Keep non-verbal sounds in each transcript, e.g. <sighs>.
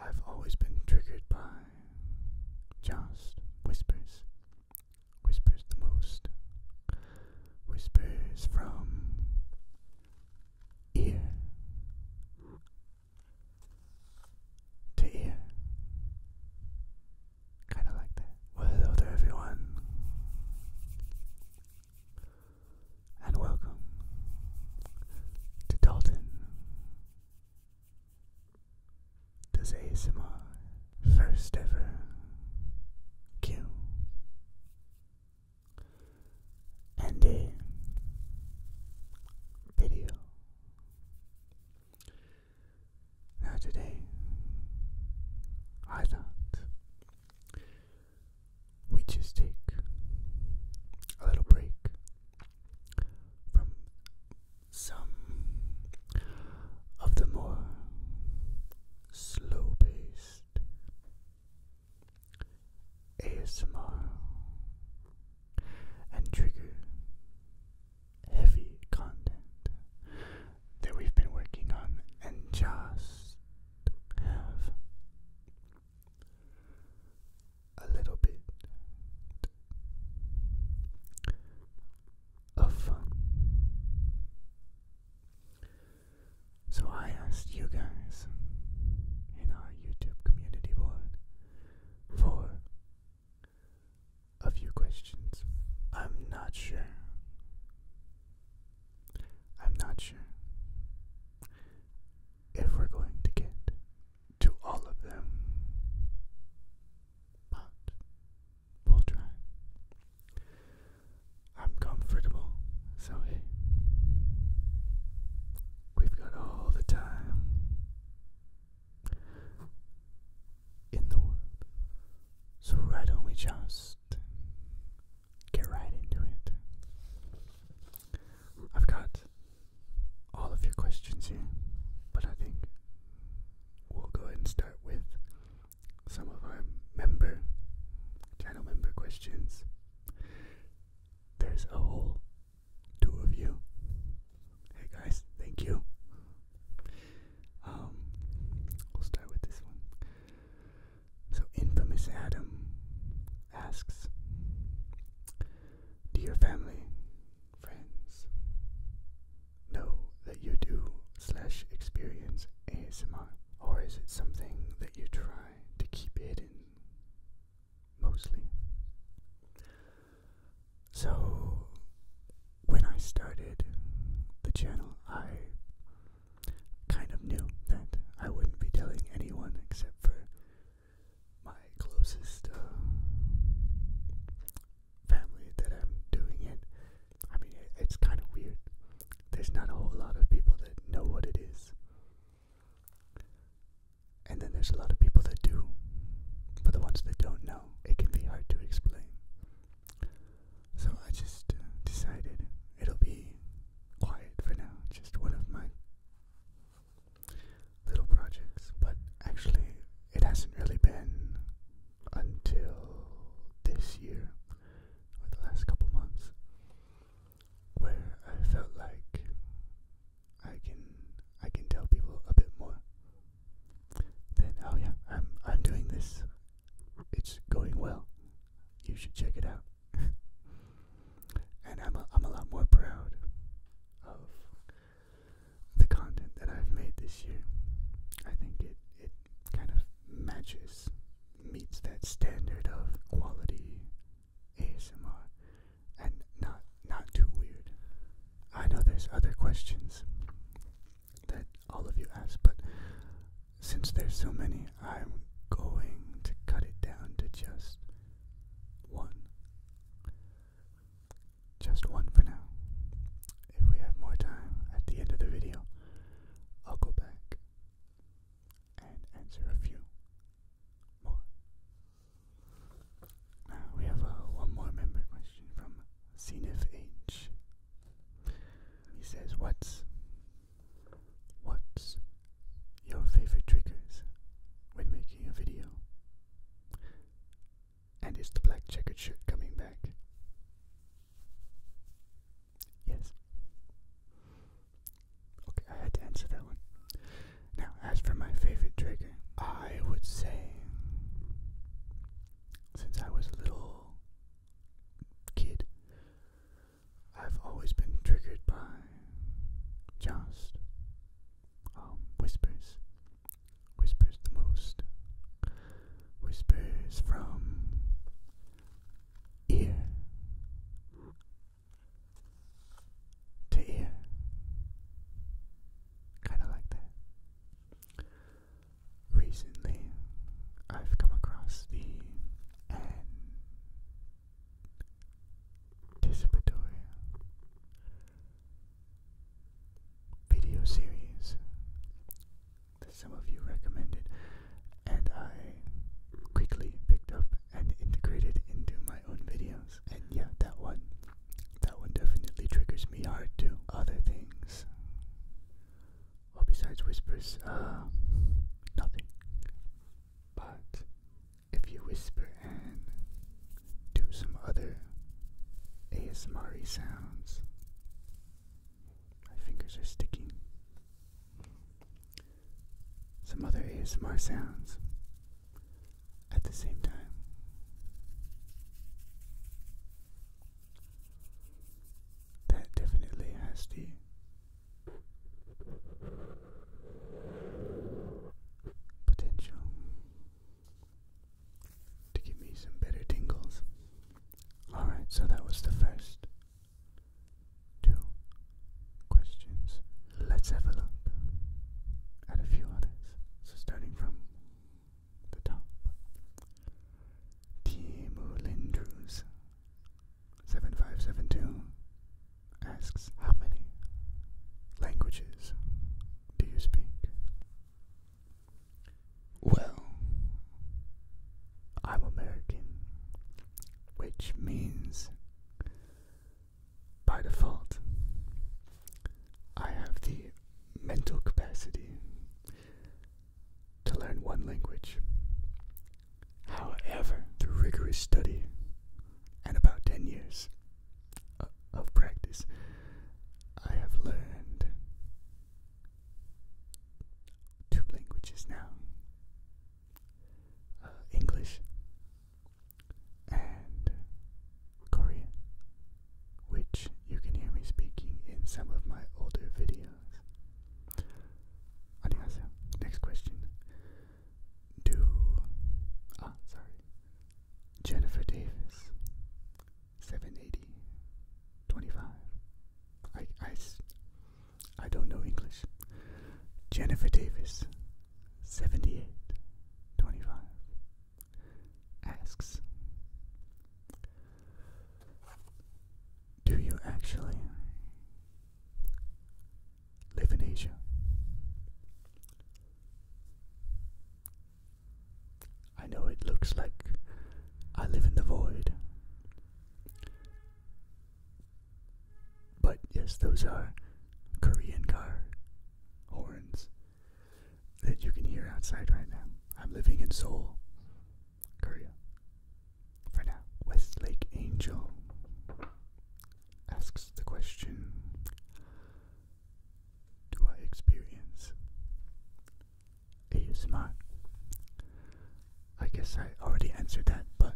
I've always been triggered by just whispers. Whispers the most. Whispers from ear to ear. Kind of like that. hello everyone. And welcome to Dalton does ASMR first ever Q and a video? Now today, I thought we just take a little break from some of the more slow paced ASMR and trigger heavy content that we've been working on and just have a little bit of fun. So I asked you guys in our YouTube community board for a few questions. I'm not sure. I'm not sure if we're going to get to all of them. But we'll try. I'm comfortable, so we've got all the time in the world. So why don't we just get right into it? I've got all of your questions here, but I think we'll go ahead and start with some of our member channel member questions. There's a whole two of you. Hey guys, thank you. Um, we'll start with this one. So infamous Adam asks, do your family, friends know that you do slash experience ASMR? Or is it something that you try to keep hidden mostly? So, when I started the channel, I kind of knew that I wouldn't be telling anyone except for my closest uh, family that I'm doing it. I mean, it's kind of weird. There's not a whole lot of people that know what it is. And then there's a lot of people that do. For the ones that don't know, it can be hard to explain. So I just uh, decided it'll be quiet for now, just one of my little projects, but actually, it hasn't really been until this year or the last couple months where I felt like I can I can tell people a bit more than oh yeah I'm I'm doing this it's going well you should check it out <laughs> and I'm a, I'm a lot more proud of the content that I've made this year. I think it, it kind of matches, meets that standard of quality ASMR and not not too weird. I know there's other questions that all of you ask, but since there's so many, I'm going to cut it down to just one. Just one for now. If we have more time at the end of the video, I'll go back and answer a few more. we have uh, one more member question from Cenif H. He says, "What's what's your favorite triggers when making a video? And is the black checkered shirt coming back? Yes. Okay, I had to answer that one. Now, as for my favorite trigger, I would say, since I was a little kid, I've always been triggered by just um, whispers, whispers the most, whispers from ear to ear, kind of like that. Recently, I've come across the anticipatory video series that some of you recommended, and I quickly picked up and integrated into my own videos. And yeah, that one, that one definitely triggers me hard too. Other things, well, besides whispers, uh, nothing. But if you whisper and do some other ASMR sounds. My fingers are sticking. Some other ASMR sounds at the same time. That definitely has the potential to give me some better tingles. Alright, so that was the first two questions. Let's have a look at a few others. So, starting from the top Timu Lindrus 7572 asks how many languages do you speak? Well, I'm American, which means by default I have the mental capacity to learn one language. However, through rigorous study and about 10 years of practice, I have learned two languages now uh, English and Korean, which you can hear me speaking in some of my older videos. Annyeonghaseyo. Next question. Do. Ah, sorry. Jennifer Davis, 780, I, I, I don't know English. Jennifer Davis, 78, asks, Do you actually live in Asia? I know it looks like I live in the void. But yes, those are Korean car horns that you can hear outside right now. I'm living in Seoul, Korea. For now, Westlake Angel asks the question do I experience ASMR? I guess I already answered that, but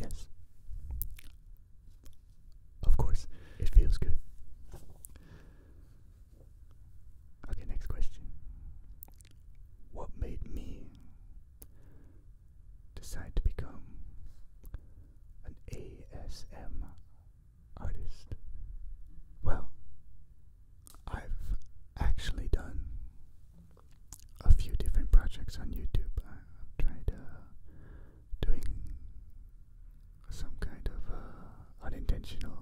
yes. Of course, it feels good. Okay, next question. What made me decide to become an ASM? artist? Well, I've actually done a few different projects on YouTube. I've tried uh, doing some kind of uh, unintentional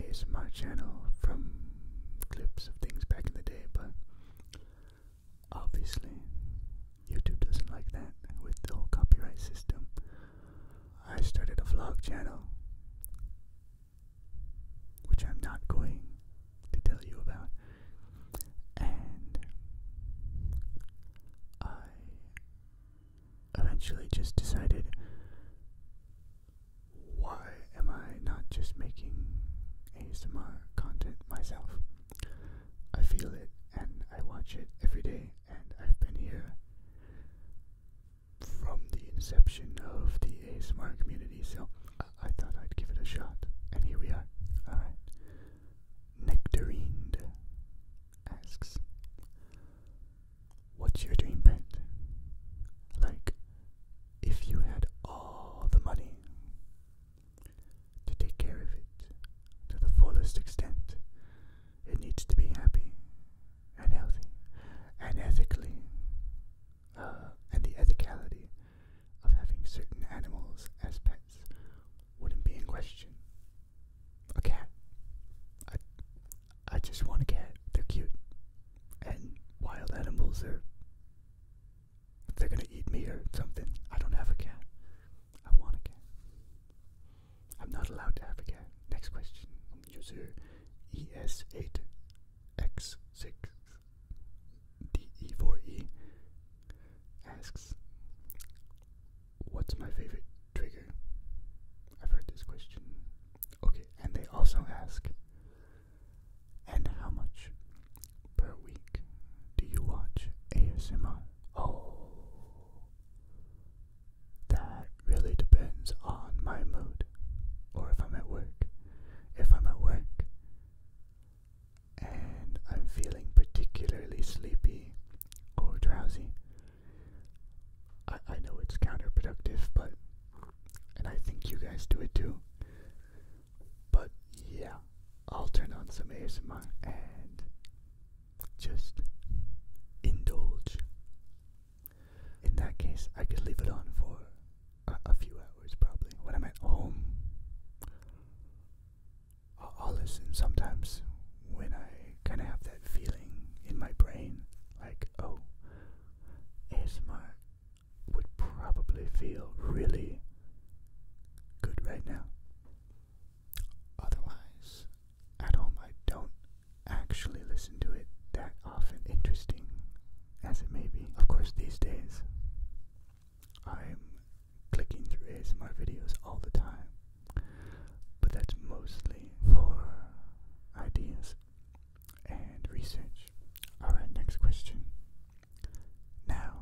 ASMR channel from clips of things back in the day, but obviously YouTube doesn't like that with the whole copyright system. I started a vlog channel, which I'm not going to tell you about, and I eventually just decided why am I not just making ASMR content myself? I feel it and I watch it every day, and I've been here from the inception of the ASMR community, so I, thought I'd give it a shot, and here we are. Alright. Nectarine asks, What's your dream pet? Like, if you had all the money, to take care of it to the fullest extent. It needs to be happy and healthy and ethically, uh, and the ethicality of having certain animals as pets wouldn't be in question. A cat. I, I just want a cat. They're cute. And wild animals are. They're gonna eat me or something. I don't have a cat. I won again. I'm not allowed to have again. Next question. User ES8X6DE4E asks, What's my favorite trigger? I've heard this question. Okay, and they also ask, and how much per week do you watch ASMR? Oh, that really depends on my mood or if I'm at work. If I'm at work and I'm feeling particularly sleepy or drowsy, I, I know it's counterproductive, but, and I think you guys do it too, but yeah, I'll turn on some ASMR and just indulge. In that case, I could leave it on for a, few hours probably. When I'm at home, I'll, listen sometimes when I kind of have that feeling in my brain like, oh, ASMR would probably feel really good right now. Otherwise, at home I don't actually listen to it that often, interesting as it may be. Of course, these days I'm clicking through ASMR videos all the time, but that's mostly for ideas and research. Alright, next question. Now,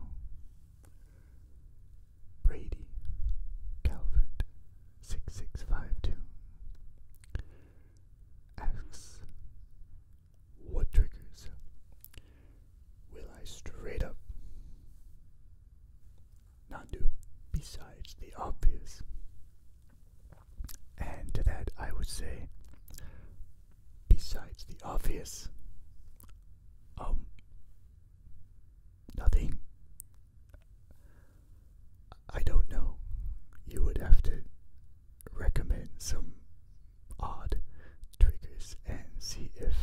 Brady Calvert 6652 asks, What triggers will I straight up not do besides the obvious? And that I would say, besides the obvious, um, nothing. I don't know. You would have to recommend some odd triggers and see if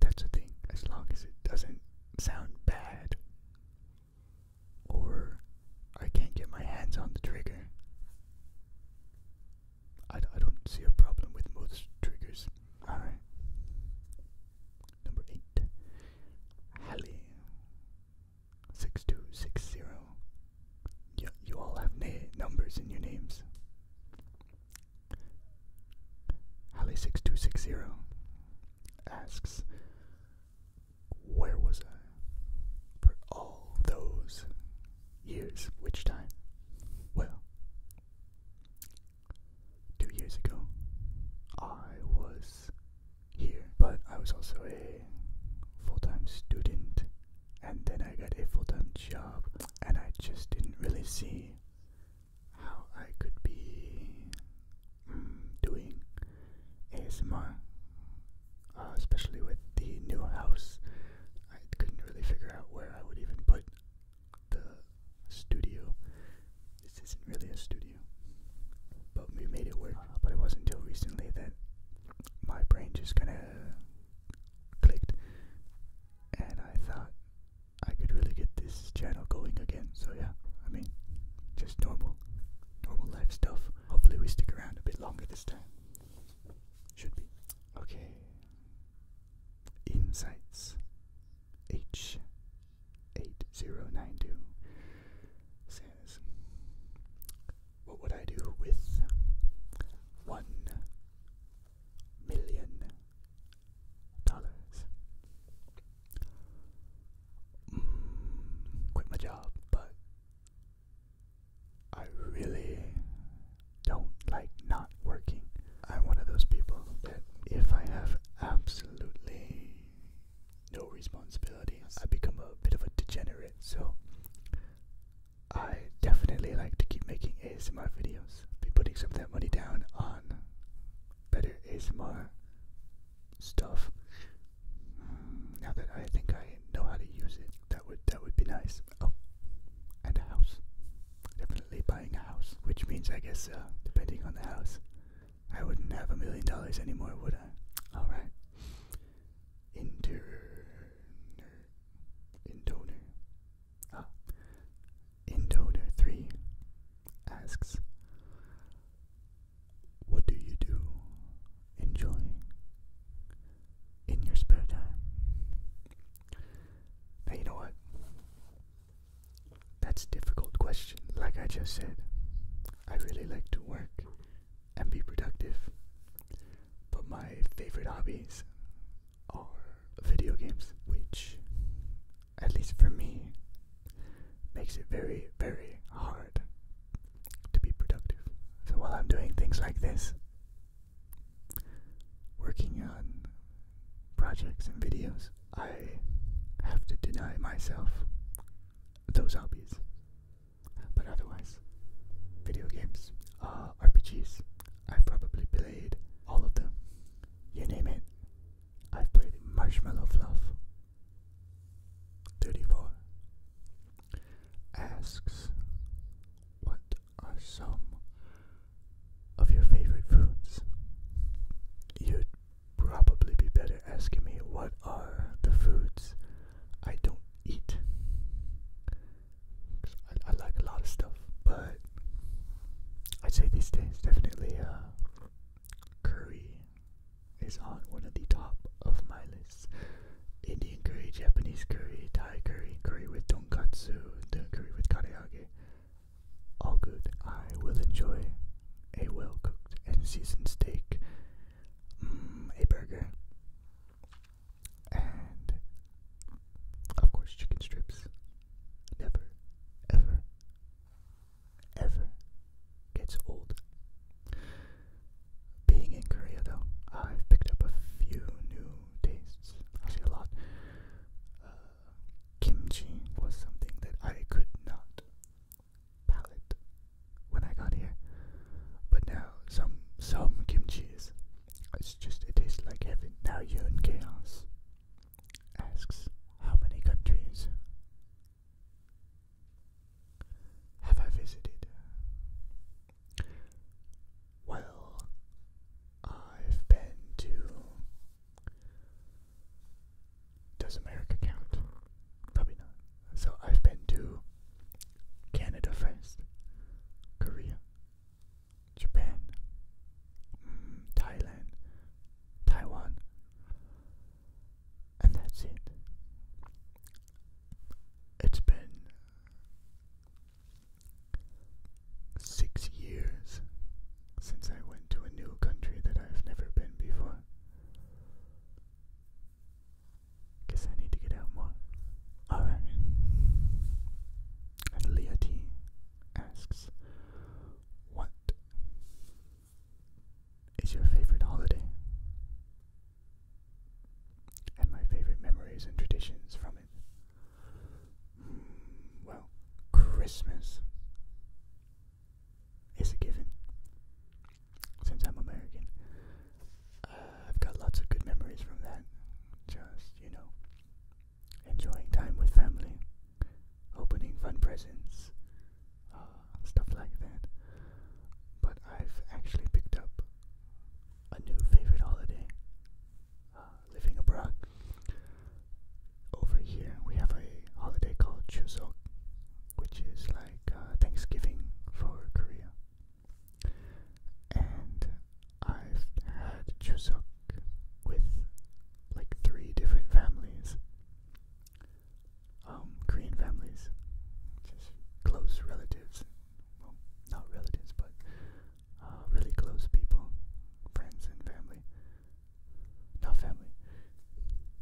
that's a thing, as long as it doesn't sound bad or I can't get my hands on the trigger. I, don't see a problem with most triggers. Alright. Number eight. Hallie. Six two six zero. You, all have numbers in your names. Hallie six two six zero asks Where was I? For all those years, which time? Well, two years ago, I was here, but I was also a full time student, and then I got a full time job, and I just didn't really see how I could be mm, doing ASMR, uh, especially with the new house. I couldn't really figure out where I would even put the studio. This isn't really a studio, but we made it work. But it wasn't until recently that my brain just kind of clicked, and I thought I could really get this channel going again. So yeah, I mean, just normal, normal life stuff. Hopefully, we stick around a bit longer this time. Should be okay. Insights H8092 says, What would I do with one million dollars? Mm, quit my job, but I really don't like not working. I'm one of those people that if I have absolutely no responsibility, I become a bit of a degenerate. So I definitely like to keep making ASMR videos. Be putting some of that money down on better ASMR stuff. Mm, now that I think I know how to use it, that would that would be nice. Oh, and a house definitely buying a house. Which means, I guess, uh, depending on the house, I wouldn't have a million dollars anymore, would I? Alright. Inter. Intoner. Ah. Intoner 3 asks, What do you do? Enjoy. In your spare time. Now, you know what? That's a difficult question, like I just said. I really like to work and be productive, but my favorite hobbies are video games, which, at least for me, makes it very, very hard to be productive. So while I'm doing things like this, working on projects and videos, I have to deny myself those hobbies. But otherwise, video games, uh, RPGs, i probably played all of them. You name it, I've played Marshmallow Fluff. 34 asks, What are some of your favorite foods. You'd probably be better asking me what are the foods I don't eat. I, like a lot of stuff, but I'd say these days definitely uh, curry is on one of the top of my list. Indian curry, Japanese curry, Thai curry, curry with donkatsu, curry with karaage, all good. I will enjoy a well cooked and seasoned steak, mm, a burger, and of course, chicken strips. Never, ever, ever gets old. Being in Korea, though, I've picked up a few new tastes. I see a lot. Uh, kimchi was something that I could not palate when I got here. But now some some kimchi is it's just it tastes like heaven. Now Yun Chaos asks how many countries have I visited? Well, I've been to does America count? Probably not. So I've been to Canada France, Korea, Japan, mm, Thailand, Taiwan, and that's it. It's been six years since I went to a new country that I've never been before. Guess I need to get out more. Alright. And Leah T asks, What is your favorite holiday? And my favorite memories and traditions from it? Hmm, well, Christmas is a given. Since I'm American, uh, I've got lots of good memories from that. Just, you know, enjoying time with family, opening fun presents, uh, stuff like that. But I've actually picked up a new favorite holiday uh, living abroad over here we have a holiday called Chuseok, which is like uh, Thanksgiving for Korea. And I've had Chuseok with like three different families, um, Korean families, just close relatives. Well, not relatives, but uh, really close people, friends and family. Not family.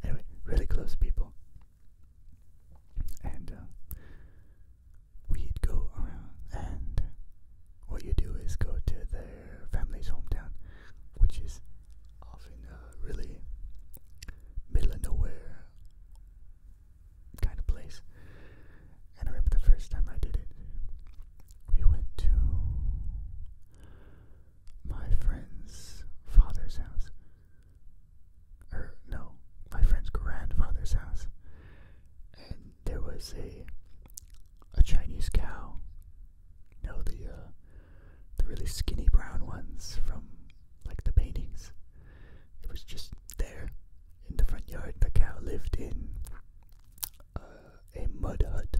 Anyway, really close people. And uh, we'd go around, and what you do is go to their family's hometown, which is often a uh, really middle of nowhere kind of place. And I remember the first time I did it, we went to my friend's father's house. Or, no, my friend's grandfather's house. And there was a a Chinese cow. You know, the, uh, the really skinny brown ones from, like, the paintings. It was just there in the front yard. The cow lived in uh, a mud hut.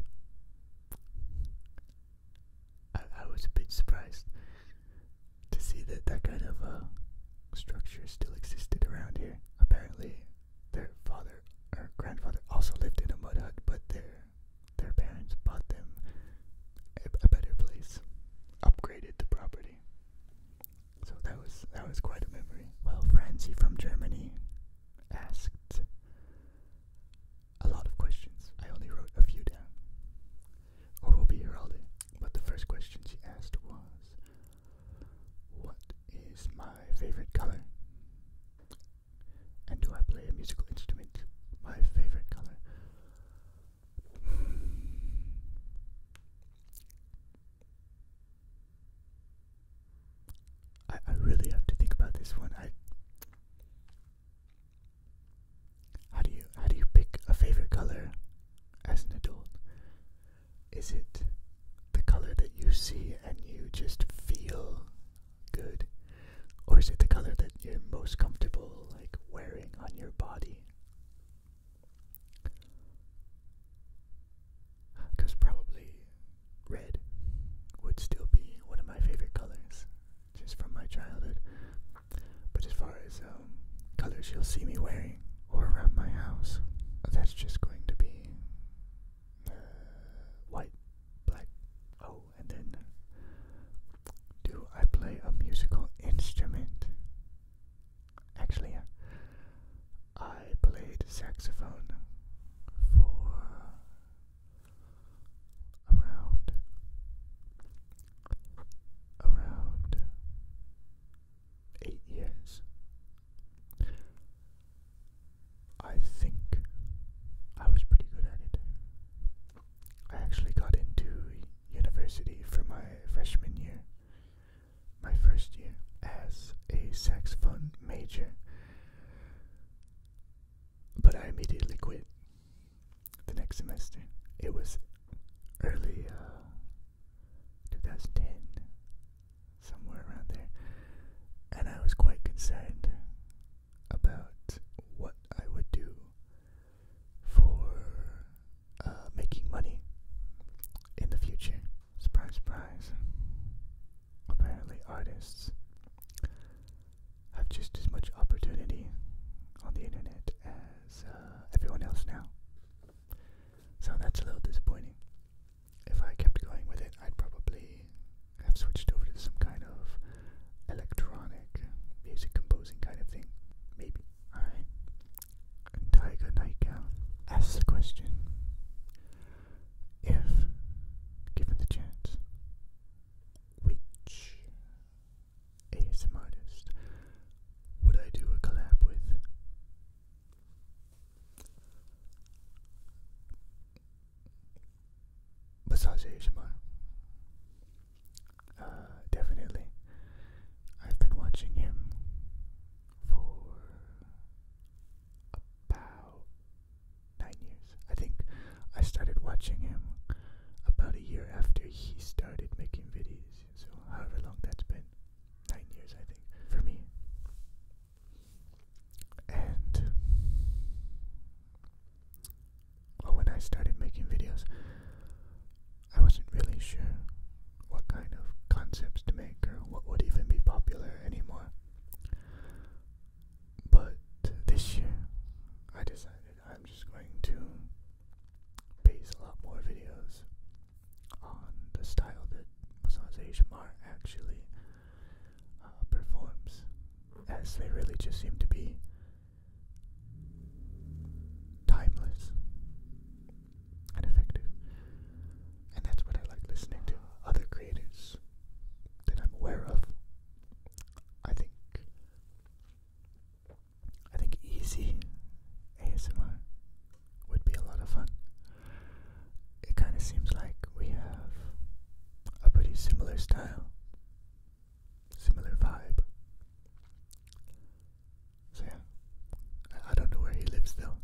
I, was a bit surprised to see that that kind of uh, structure still existed around here. Apparently, their father or grandfather also lived in a mud hut, but their their parents bought them a, better place, upgraded the property. So that was that was quite a memory. Well, Francie from Germany asked, a lot of questions. I only wrote a few down. we'll be here all day. But the first question she asked was, What is my favorite color? And do I play a musical instrument? My favorite color. I, I really have to think about this one. I how do you how do you pick a favorite color as an adult? Is it the color that you see and you just feel good? Or is it the color that you're most comfortable like wearing on your body? Because probably red would still be one of my favorite colors, just from my childhood. But as far as um, colors you'll see me wearing or around my house, that's just going to be uh, white, black. Oh, and then do I play a musical instrument? Actually, yeah. I played saxophone for around, around eight years. I think I was pretty good at it. I actually got into university for my freshman year, my first year as a saxophone major. But I immediately quit the next semester. It was early uh, 2010, somewhere around there. And I was quite concerned about what I would do for uh, making money in the future. Surprise, surprise. Apparently, artists have just as much opportunity on the internet as uh, everyone else now. So that's a little disappointing. If I kept going with it, I'd probably have switched over to some kind of electronic music composing kind of thing. Maybe. Alright. Tiger Nightgown ask the question if, given the chance, which ASMR artist would I do a collab with? Besides ASMR, uh, definitely. I've been watching him for about nine years. I think I started watching him about a year after he started making videos. So however long that's been, nine years I think for me. And well, when I started making videos, I wasn't really sure what kind of concepts to make or what would even be popular anymore. But this year, I decided I'm just going to base a lot more videos on the style that Massage HMR actually uh, performs, as they really just seem to be timeless and effective. And that's what I like listening to other creators that I'm aware of. I think I think easy ASMR would be a lot of fun. It kind of seems like we have a pretty similar style, similar vibe. So yeah, I, I don't know where he lives though.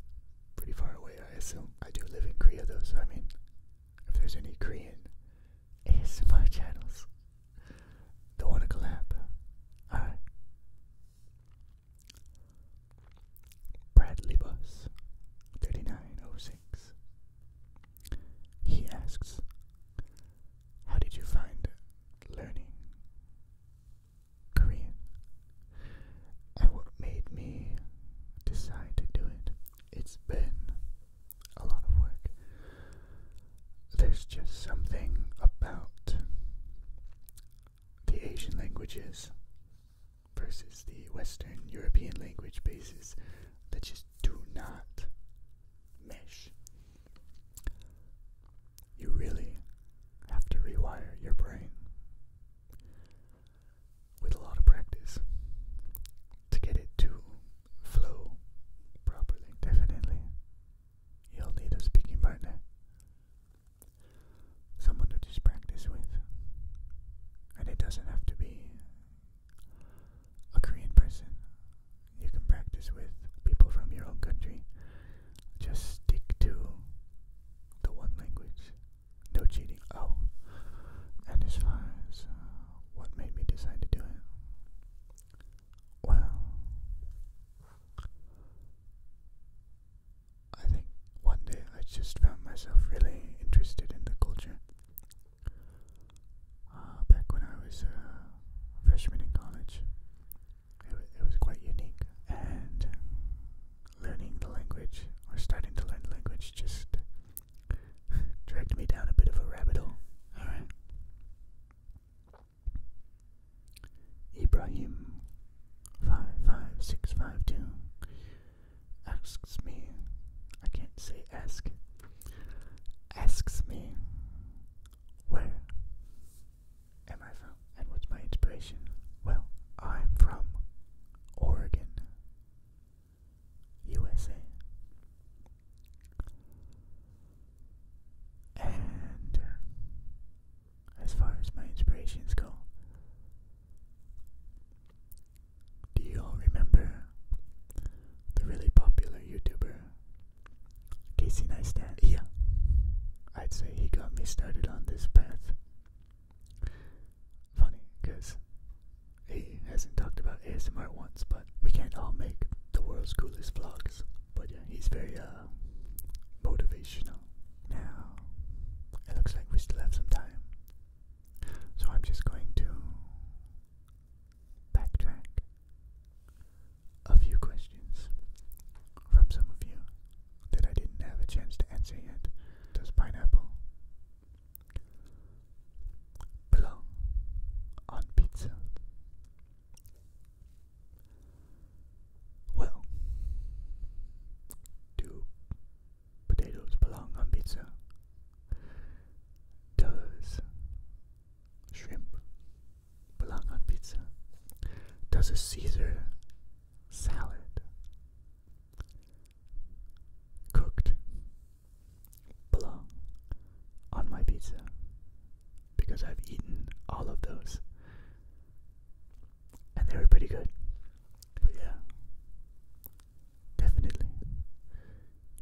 Pretty far away, I assume. I do live in Korea though, so I mean, if there's any Korean ASMR channels that want to collab. Alright. Bradley Bus 3906. He asks, How did you find learning Korean? And what made me decide to do it? It's been a lot of work. There's just something about the Asian languages versus the Western European language bases that just do not mesh. You really have to rewire your brain with a lot of practice to get it to flow properly. Definitely, you'll need a speaking partner, someone to just practice with, and it doesn't have to be a Korean person. You can practice with people from your own country. Just stick to the one language. No cheating. Oh, and as far as uh, what made me decide to do it? Well, I think one day I just found myself really interested in the culture. Uh, back when I was a freshman in college, it, it was quite unique, and learning the language or starting to learn the language just <laughs> dragged me down a bit of a rabbit hole. Alright. Ibrahim five five six five two asks me I can't say ask asks me where am I from and what's my inspiration? Well, I'm from Oregon. USA. And uh, as far as my inspirations go, do you all remember the really popular YouTuber Casey Neistat? Yeah, I'd say he got me started on this path. Funny, because he hasn't talked about ASMR once, but we can't all make the world's coolest vlogs. But yeah, he's very uh, motivational. Now, it looks like we still have some time. So I'm just going to backtrack a few questions from some of you that I didn't have a chance to answer yet. Does pineapple Belong on pizza. Well, do potatoes belong on pizza? Does shrimp belong on pizza? Does a Caesar salad cooked Plum on my pizza because I've eaten all of those and they were pretty good. But yeah, definitely.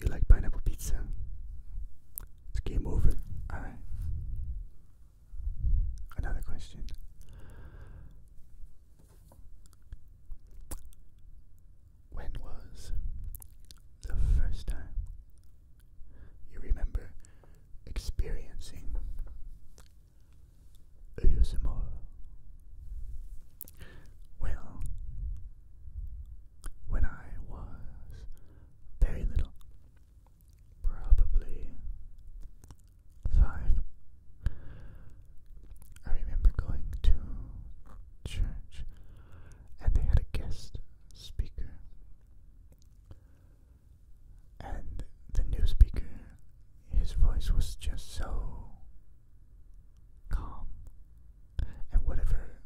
You like pineapple pizza? It's game over. Alright. Another question. When was the first time you remember experiencing ASMR? Well, when I was very little, probably five, I remember going to church and they had a guest speaker. And the new speaker, his voice was just so calm. And whatever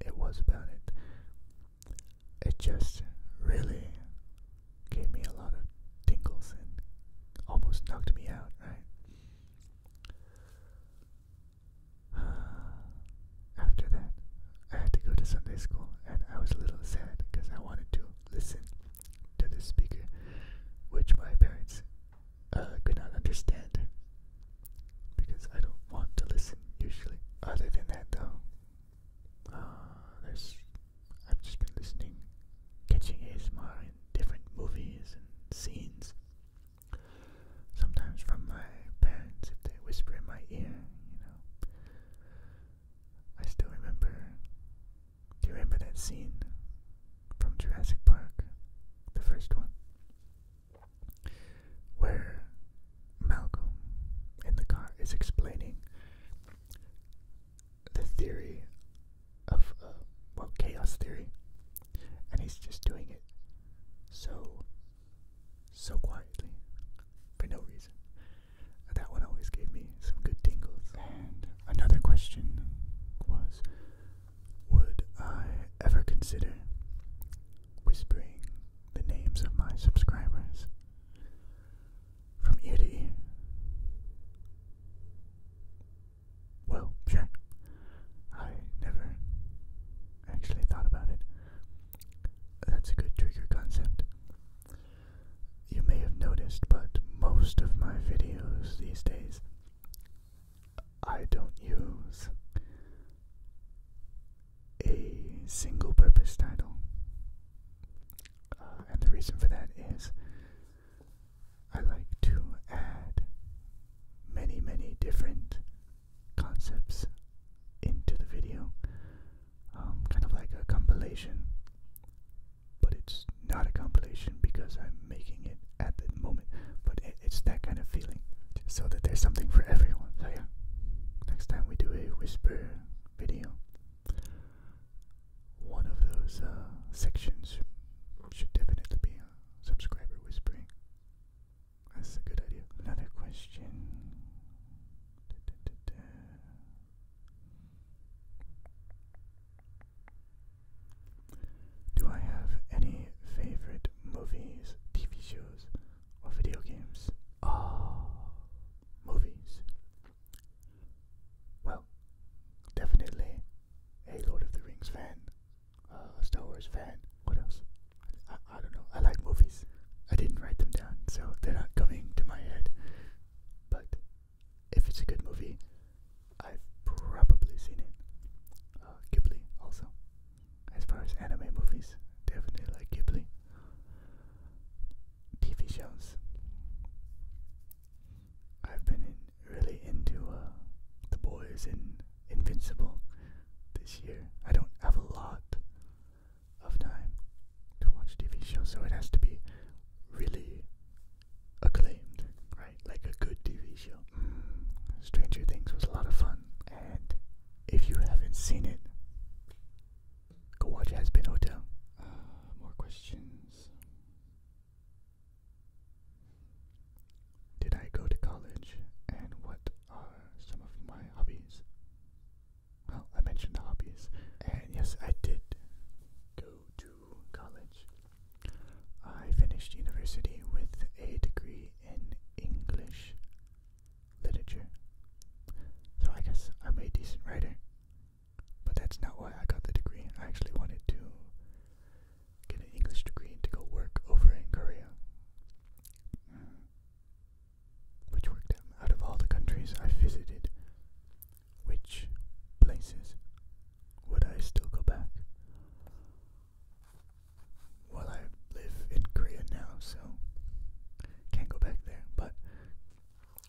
it was about it, it just really gave me a lot of tingles and almost knocked me out, right? <sighs> After that, I had to go to Sunday school, and I was a little sad because I wanted to listen to the speaker, which my parents uh, could not understand because I don't want to listen usually. Other than that, though, uh, there's I've just been listening, catching ASMR in different movies and scenes. Sometimes from my parents, if they whisper in my ear, you know. I still remember. Do you remember that scene from Jurassic Park, the first one, where Malcolm in the car is explaining the theory of, uh, well, chaos theory, and he's just doing it so so quietly for no reason. That one always gave me some good tingles. And another question was Would I ever consider whispering the names of my subscribers from ear Well, sure. I never actually thought about it. That's a good trigger concept. You may have noticed, but most of my videos these days I don't use a single purpose title. Uh, and the reason for that is I like to add many, many different concepts into the video, um, kind of like a compilation, but it's not a compilation because I'm making it at the moment, but it's that kind of feeling, so that there's something for everyone. So, yeah, next time we do a whisper video, one of those uh, sections should definitely be subscriber whispering. That's a good idea. Another question. Do I have any favorite movies, TV shows, or video games? Ah, oh, movies. Well, definitely a Lord of the Rings fan uh, Star Wars fan. What else? I, don't know. I like movies. I didn't write them down, so they're not coming to my head. But if it's a good movie, I've probably seen it. Uh, Ghibli also. As far as anime movies, definitely like Ghibli. TV shows. I've been really into uh, The Boys in. Invincible this year. I don't have a lot of time to watch TV shows, so it has to be really acclaimed, right? Like a good TV show. Mm, Stranger Things was a lot of fun, and if you haven't seen it, go watch Has Been Hotel. Uh, more questions. Did I go to college and what are uh, some of my hobbies. Well, I mentioned the hobbies, and yes, I did go to college. I finished university with a degree in English literature. So I guess I'm a decent writer. But that's not why I got the degree. I actually wanted to get an English degree to go work over in Korea. Which worked out of all the countries I visited, which places would I still go back? Well, I live in Korea now, so can't go back there, but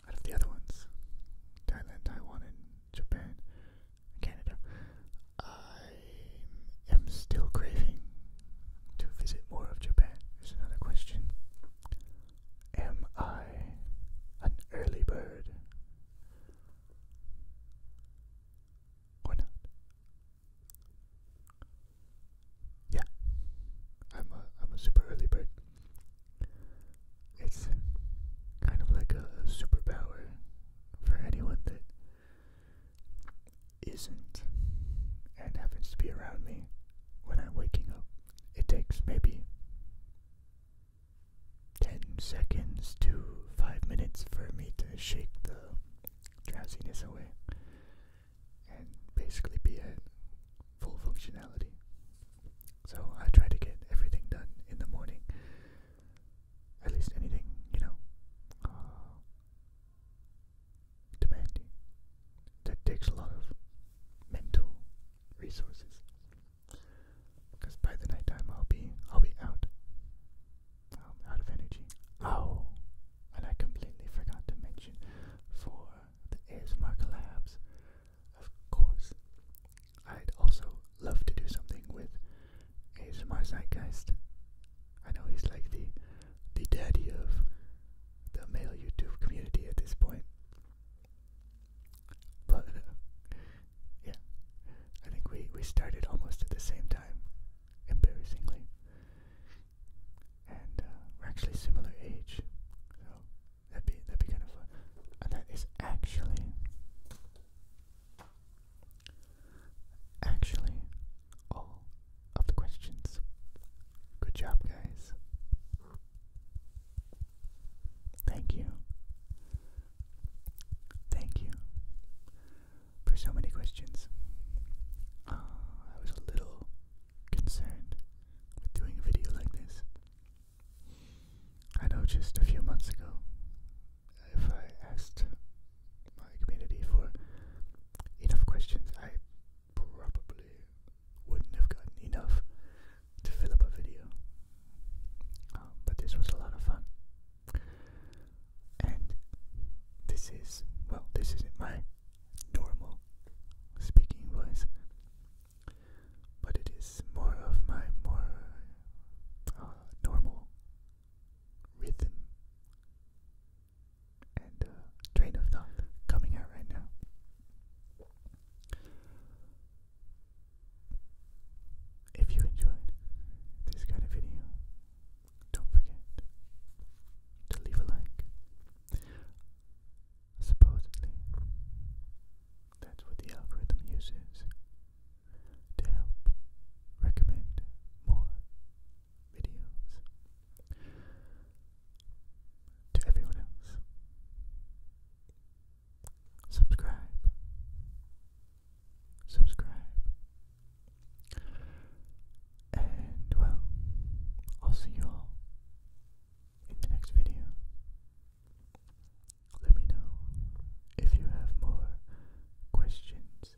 out of the other ones, Thailand, Taiwan, Japan, Canada, I I am still craving to visit more of Japan. There's another question. Am I an early bird or Yeah, I'm a I'm a super early bird. It's kind of like a superpower for anyone that isn't and happens to be around me when I'm waking up. It takes maybe 10 seconds to 5 minutes for me to shake the drowsiness away and basically be at full functionality. So I try to get everything done in the morning, at least anything, you know demanding. That takes a lot of mental resources. Because by the night time I'll be I'll be out. Um, out of energy. Oh, and I completely forgot to mention for the ASMR collabs, of course, I'd also love to do something with ASMR Zeitgeist. I know he's like the the daddy of the male YouTube community at this point. But uh, yeah, I think we we started almost at the same time, embarrassingly, and uh, we're actually similar age, so that'd be that'd be kind of fun. And that is actually Actually, all of the questions. Good job, guys. Thank you. Thank you for so many questions. Uh, I was a little concerned with doing a video like this. I know just a few months ago, if I asked my community for enough questions. I probably wouldn't have gotten enough to fill up a video, um, but this was a lot of fun. And this is, well, this is my normal speaking voice, but it is more of my more uh, normal rhythm and uh, train of thought coming out right now. If you enjoyed this kind of video, don't forget to leave a like. Supposedly, that's what the algorithm uses to help recommend more videos. To everyone else, subscribe, subscribe, and well, I'll see you all in the next video. Let me know if you have more questions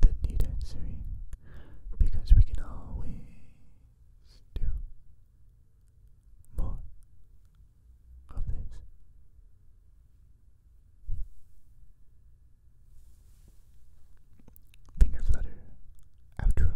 that need answering because we can always do more of this. Finger flutter outro.